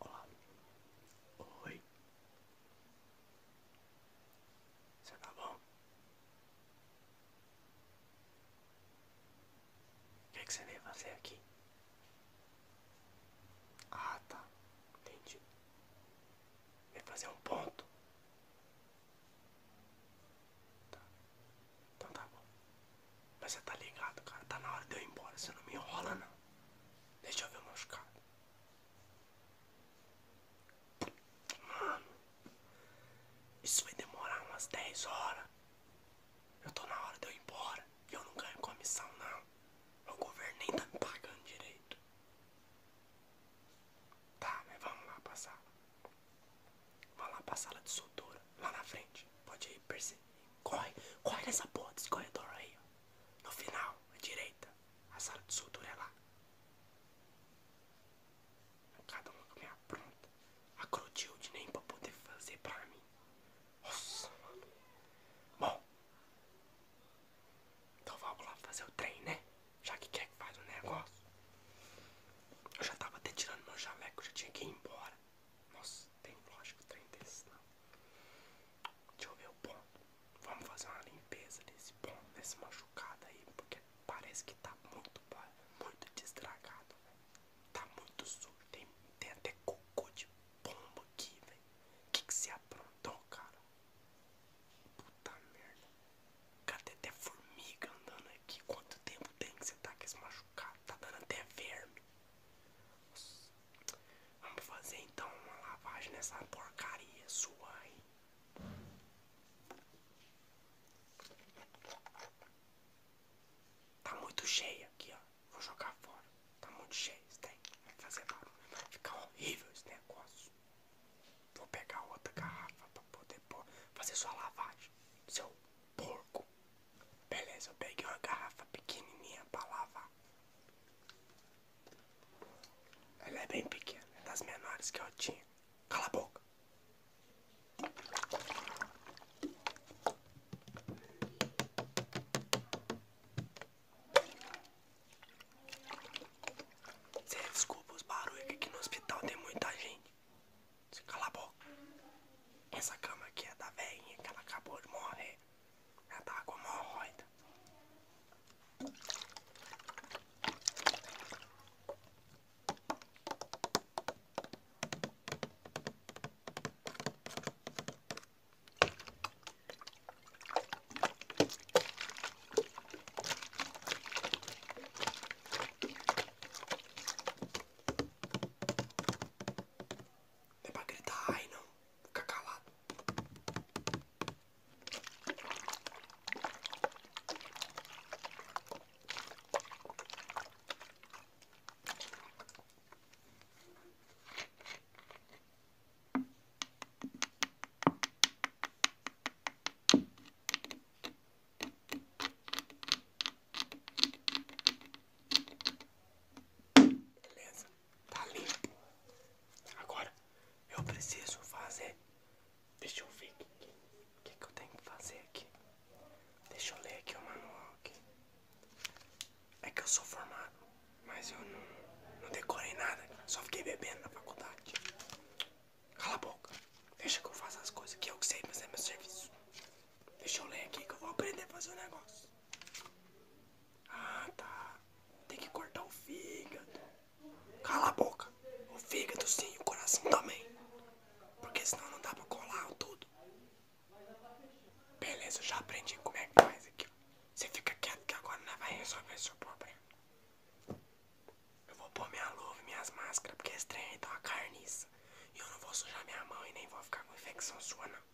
Olá. Oi. Você tá bom? O é que, você veio fazer aqui? Ah, tá. Entendi. Veio fazer um ponto. Tá. Então tá bom. Mas você tá ligado, cara. Tá na hora de eu ir embora. Você não me enrola, não. Deixa eu ver o machucado. Mano, isso vai demorar umas 10 horas. Eu tô na hora de eu ir embora. E eu não ganho comissão, não. O governo nem tá me pagando direito. Tá, mas vamos lá pra sala. Vamos lá pra sala de soltura. Lá na frente. Pode ir, perceber. Corre, corre nessa porra desse corredor aí, ó. No final, a direita, a sala de soldura é lá. Cada uma com a minha pronta. A Crotilde nem pra poder fazer pra mim. Nossa, mano. Bom. Então vamos lá fazer o trem, né? Já que quer é que faz o negócio. Eu já tava até tirando meu jaleco, já tinha que ir embora. Nossa, tem lógico trem desses não. Deixa eu ver o ponto. Vamos fazer uma limpeza desse ponto, desse machucado aí, porque parece que tá muito, muito destragado, Tá muito sujo. Tem, tem até cocô de pomba aqui, velho. O que que se aprontou, cara? Puta merda. Cara, tem até formiga andando aqui. Quanto tempo tem que você tá com esse machucado? Tá dando até verme. Nossa. Vamos fazer então uma lavagem nessa porcaria sua aí. Tá muito cheia aqui, ó. Vou jogar fora. Tá muito cheia isso tem. Vai fazer barulho. Vai ficar horrível esse negócio. Vou pegar outra garrafa pra poder fazer sua lavagem. Seu porco. Beleza, eu peguei uma garrafa pequenininha pra lavar. Ela é bem pequena, é das menores que eu tinha. Cala a boca. Você desculpa os barulhos que aqui no hospital tem muita gente. Você cala a boca. Essa cama aqui é da velhinha que ela acabou de morrer. Ela tava tá com hemorroida é para gritar ai não. Fica calado. Tá limpo. Agora eu preciso fazer. Deixa eu ver o que, que, eu tenho que fazer aqui. Deixa eu ler aqui o manual aqui. É que eu sou formado, mas eu não, não decorei nada. Só fiquei bebendo na faculdade. Cala a boca. Deixa que eu faça as coisas que eu sei fazer é meu serviço. Deixa eu ler aqui que eu vou aprender a fazer o negócio. Ah, tá. Tem que cortar o fígado. Cala a boca. O fígado sim, o coração também. Porque senão não dá pra colar tudo. Beleza, eu já aprendi como é que faz aqui. Você fica quieto que agora não vai resolver seu problema. Eu vou pôr minha luva e minhas máscaras, porque esse trem aí tá uma carniça. E eu não vou sujar minha mão e nem vou ficar com infecção sua,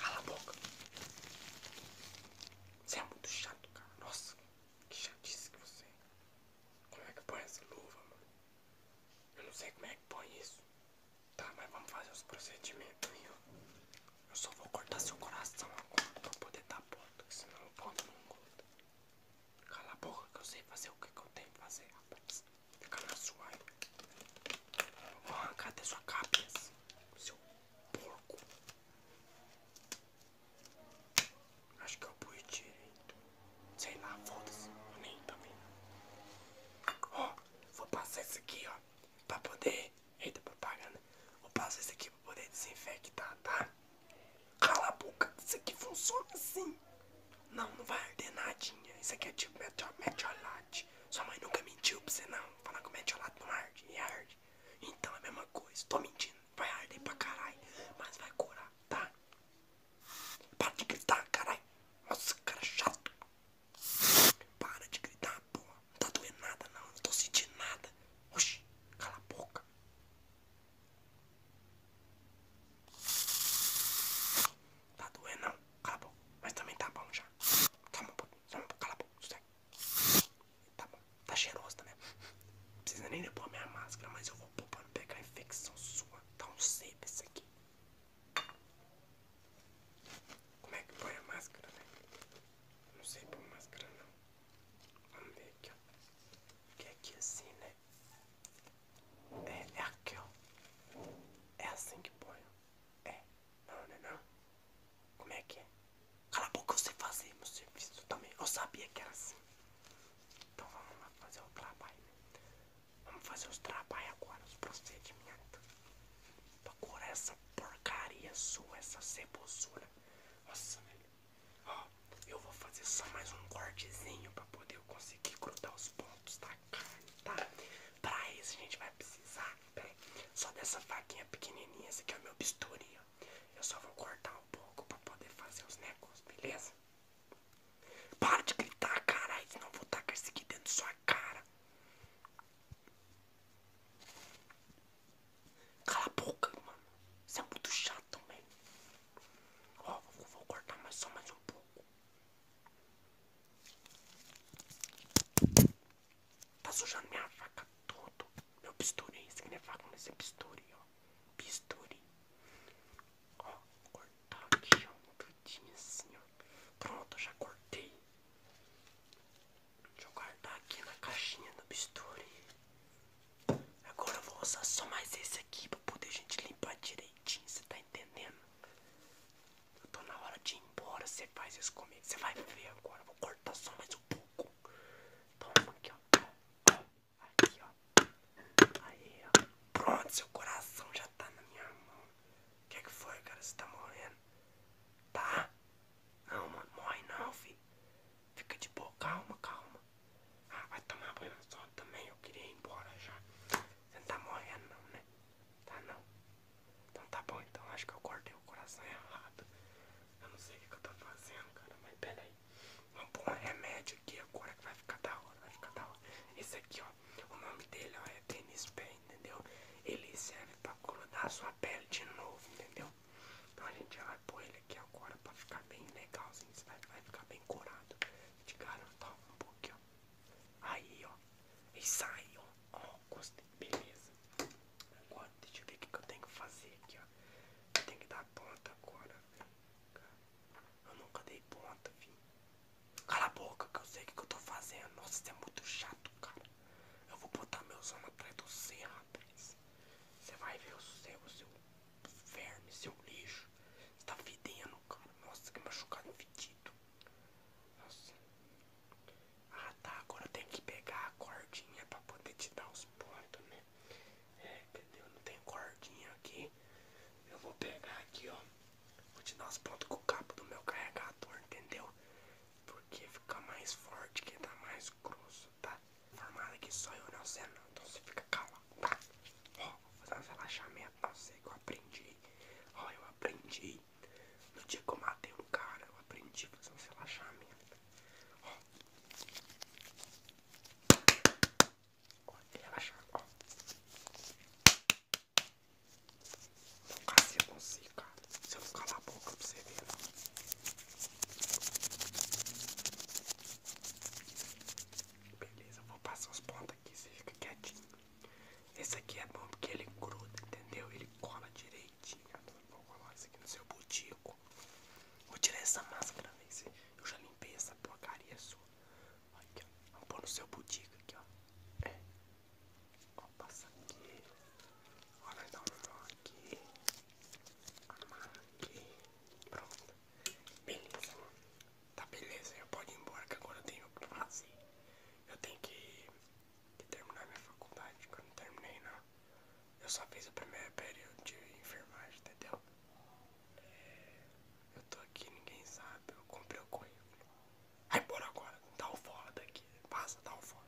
Cala a boca. Você é muito chato, cara. Nossa, que chatice que você é. Como é que põe essa luva, mano? Eu não sei como é que põe isso. Tá, mas vamos fazer os procedimentos aí, Eu só vou cortar seu coração agora pra poder dar ponta, senão o ponto não conta. Cala a boca que eu sei fazer o que, que eu tenho que fazer, rapaz. Fica na sua aí. Vou arrancar até sua cabeça. Seu porco. Acho que eu pus direito. Sei lá, foda-se. Eu nem também. Ó, vou passar isso aqui, ó. Pra poder. Eita, propaganda. Vou passar isso aqui pra poder desinfectar, tá? Cala a boca. Isso aqui funciona assim. Não, não, vai arder nadinha. Isso aqui é tipo meteor, meteorolate. Sua mãe nunca mentiu pra você, não. Falar que o meteorolate não arde e arde. Então é a mesma coisa. Tô mentindo. Vai arder pra caralho, mas vai curar, tá? Para de gritar, caralho. Nossa, cara chato. Para de gritar, porra. Não tá doendo nada, não. Não tô sentindo nada. Oxi, cala a boca. Tá doendo não, cala a boca. Mas também tá bom já. calma, tá um pouco, toma cala a boca, Tá bom, tá cheiroso também. Não precisa nem pôr a minha máscara, mas eu vou pôr pra não pegar a infecção sua. Tá um sebo esse aqui. Como é que põe a máscara, né? Não sei pôr máscara não. Vamos ver aqui, ó. Porque é aqui assim, né? É, é aqui, ó. É assim que põe. É. Não, não, é não. Como é que é? Cala a boca, eu sei fazer meu serviço também. Eu sabia que era assim. Então vamos lá fazer o trabalho. Né? Vamos fazer os trabalhos agora, os procedimentos. Pra curar essa porcaria sua, essa cebosura. Nossa, velho. Ó, eu vou fazer só mais um cortezinho pra poder eu conseguir grudar os pontos pontos tá, tá. Pra isso a gente vai precisar, só dessa faquinha pequenininha. Esse aqui é o meu bisturi, Eu só vou cortar um pouco pra poder fazer os negócios, beleza? Para de gritar, caralho, não vou tacar isso aqui dentro da sua cara. Cala a boca, mano. Isso é muito chato, velho. Ó, vou cortar só mais um pouco. Tá sujando minha vaca todo. Meu bisturi. Isso aqui não é faca, mas é bisturi, ó. Bisturi. Ó, vou cortar aqui, ó. Um tudinho assim, ó. Pronto, já cortei. Deixa eu guardar aqui na caixinha do bisturi. Agora eu vou usar só mais esse aqui pra poder a gente limpar direito você tá entendendo? Eu tô na hora de ir embora, você faz isso comigo. Você vai ver agora, vou cortar só mais um pouco. Toma aqui, ó. Aqui, ó. Aí, ó. Pronto, seu coração já tá na minha mão. O que que foi, cara? Você tá morrendo? Tá? Não, mano, morre não, filho. Fica de boa, calma, calma. Ah, vai tomar banho na sol também. Eu queria ir embora já. Você não tá morrendo, não, né? Tá, não. Então tá bom, então. Acho que eu cortei o coração errado. Eu não sei o que, eu tô fazendo, cara. Mas pera aí. Vamos pôr um remédio aqui agora que vai ficar da hora. Vai ficar da hora. Esse aqui, ó. O nome dele, ó, é Dennis Pay, entendeu? Ele serve pra colorar a sua pele de novo, entendeu? Então a gente já vai pôr ele aqui agora pra ficar bem legalzinho. Você vai, vai ficar bem curado de garantar tá, um pouquinho, Aí, ó. E sai, ó. Ó, gostei. Beleza. Agora, deixa eu ver o que eu tenho que fazer aqui, ó. Eu tenho que dar ponta agora. Eu nunca dei ponta, filho. Cala a boca que eu sei o que eu tô fazendo. Nossa, isso é muito chato, cara. Eu vou botar meus anos atrás do céu rapaz. Você vai ver o seu, o seu verme, seu lixo. Você tá fedendo, cara. Nossa, que machucado fedido. Nossa. Ah, tá. Agora tem que pegar a cordinha pra poder te dar os pontos, né? É, entendeu? Não tem cordinha aqui. Eu vou pegar aqui, ó. Vou te dar os pontos com o cabo do meu carregador, entendeu? Porque fica mais forte, que tá mais grosso, tá? Formado aqui só eu, não sei não. Então você fica calado, tá? vou fazer um relaxamento. Nossa, é que eu aprendi. Ó, eu aprendi. No dia que eu matei um cara, eu aprendi a fazer um relaxamento. Ó. Ó, relaxar, ó. Não, cara, se eu consigo, cara. Se eu não calar a boca pra você ver, não. Beleza, vou passar os pontos ponta aqui, você fica quietinho. Esse aqui é bom porque ele gruda, entendeu? Ele cola direitinho. Vou colar isso aqui no seu butico. Vou tirar essa máscara, velho. Eu já limpei essa porcaria sua. Aqui, ó. Vamos pôr no seu butico aqui, ó. É. Ó, passa aqui. Ó, vai dar um nó aqui. Amar aqui. Pronto. Beleza, Tá beleza, eu pode ir embora que agora eu tenho o que fazer. Eu tenho que, terminar minha faculdade, que eu não terminei não. Eu só fiz o primeiro período de enfermagem, entendeu? É, eu tô aqui, ninguém sabe, eu comprei o coelho Vai embora agora, dá o fora daqui. Passa, dá o fora.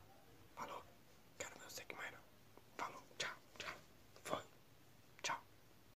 Falou, quero ver você que mais não. Falou, tchau, tchau. Foi. Tchau.